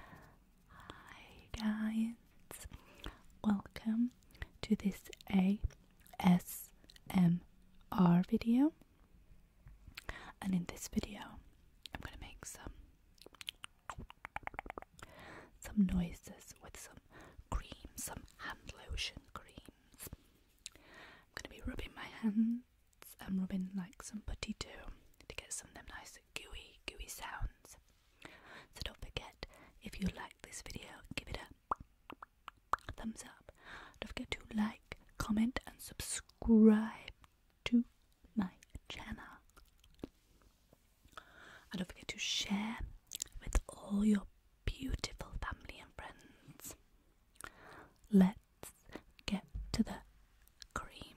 Hi guys, welcome to this ASMR video and in this video I'm gonna make some some noises with some cream, some hand lotion creams. I'm gonna be rubbing my hands I'm um, rubbing like some putty too to get some of them nice gooey, gooey sounds. So don't forget, if you like this video, give it a thumbs up. Don't forget to like, comment, and subscribe to my channel. And don't forget to share with all your beautiful family and friends. let get to the creams.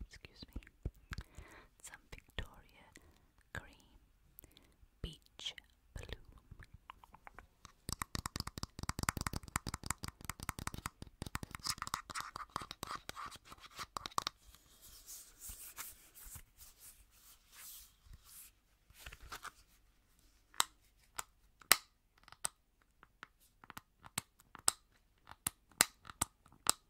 excuse me, some Victoria Cream Beach Balloon.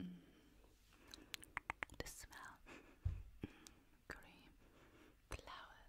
Mm. The smell, mm. cream, flowers.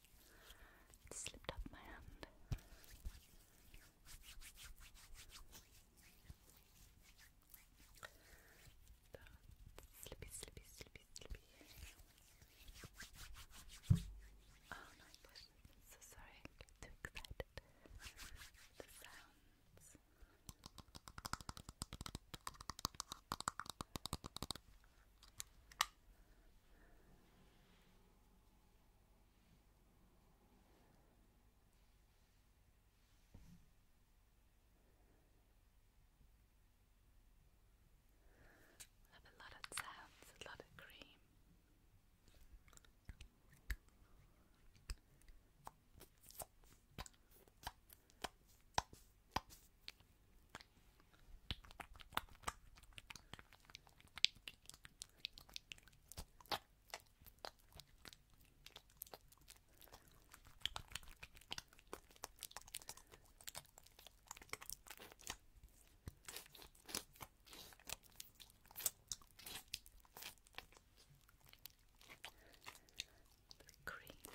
slipped up my hand. Slippy, slippy, slippy, slippy. Oh my gosh, sorry, I get too excited. The sounds. Have a lot of sounds, a lot of cream cream.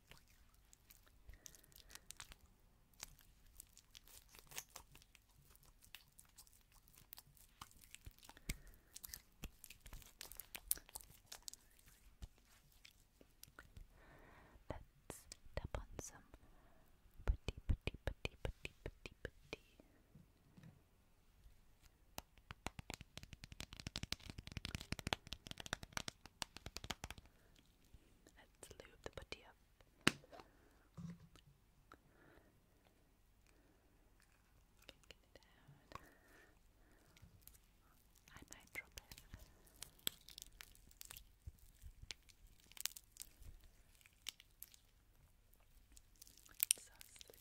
Let's tap on some putty, putty, putty, putty, putty, putty. Let's lube the putty up. I might drop it. It's so slippy.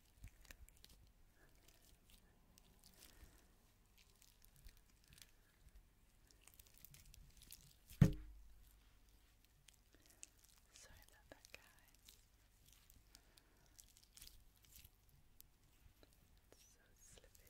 Sorry about that, guys. It's so slippy.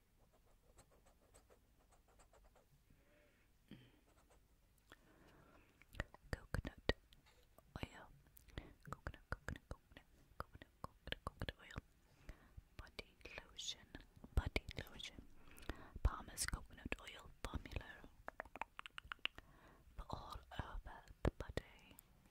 Coconut oil, coconut, coconut, coconut, coconut, coconut, oil, body lotion, body lotion, Palmer's coconut oil formula for all over the body.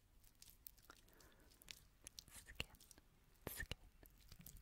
skin, skin, skin. Skin,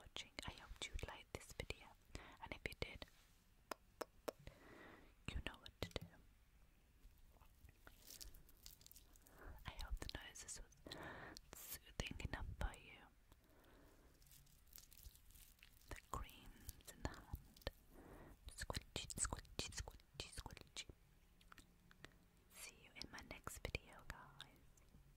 watching. I hope you liked this video, and if you did, you know what to do. I hope the noises was soothing enough for you. The creams in the hand. Squidgy, squidgy, squidgy, See you in my next video, guys.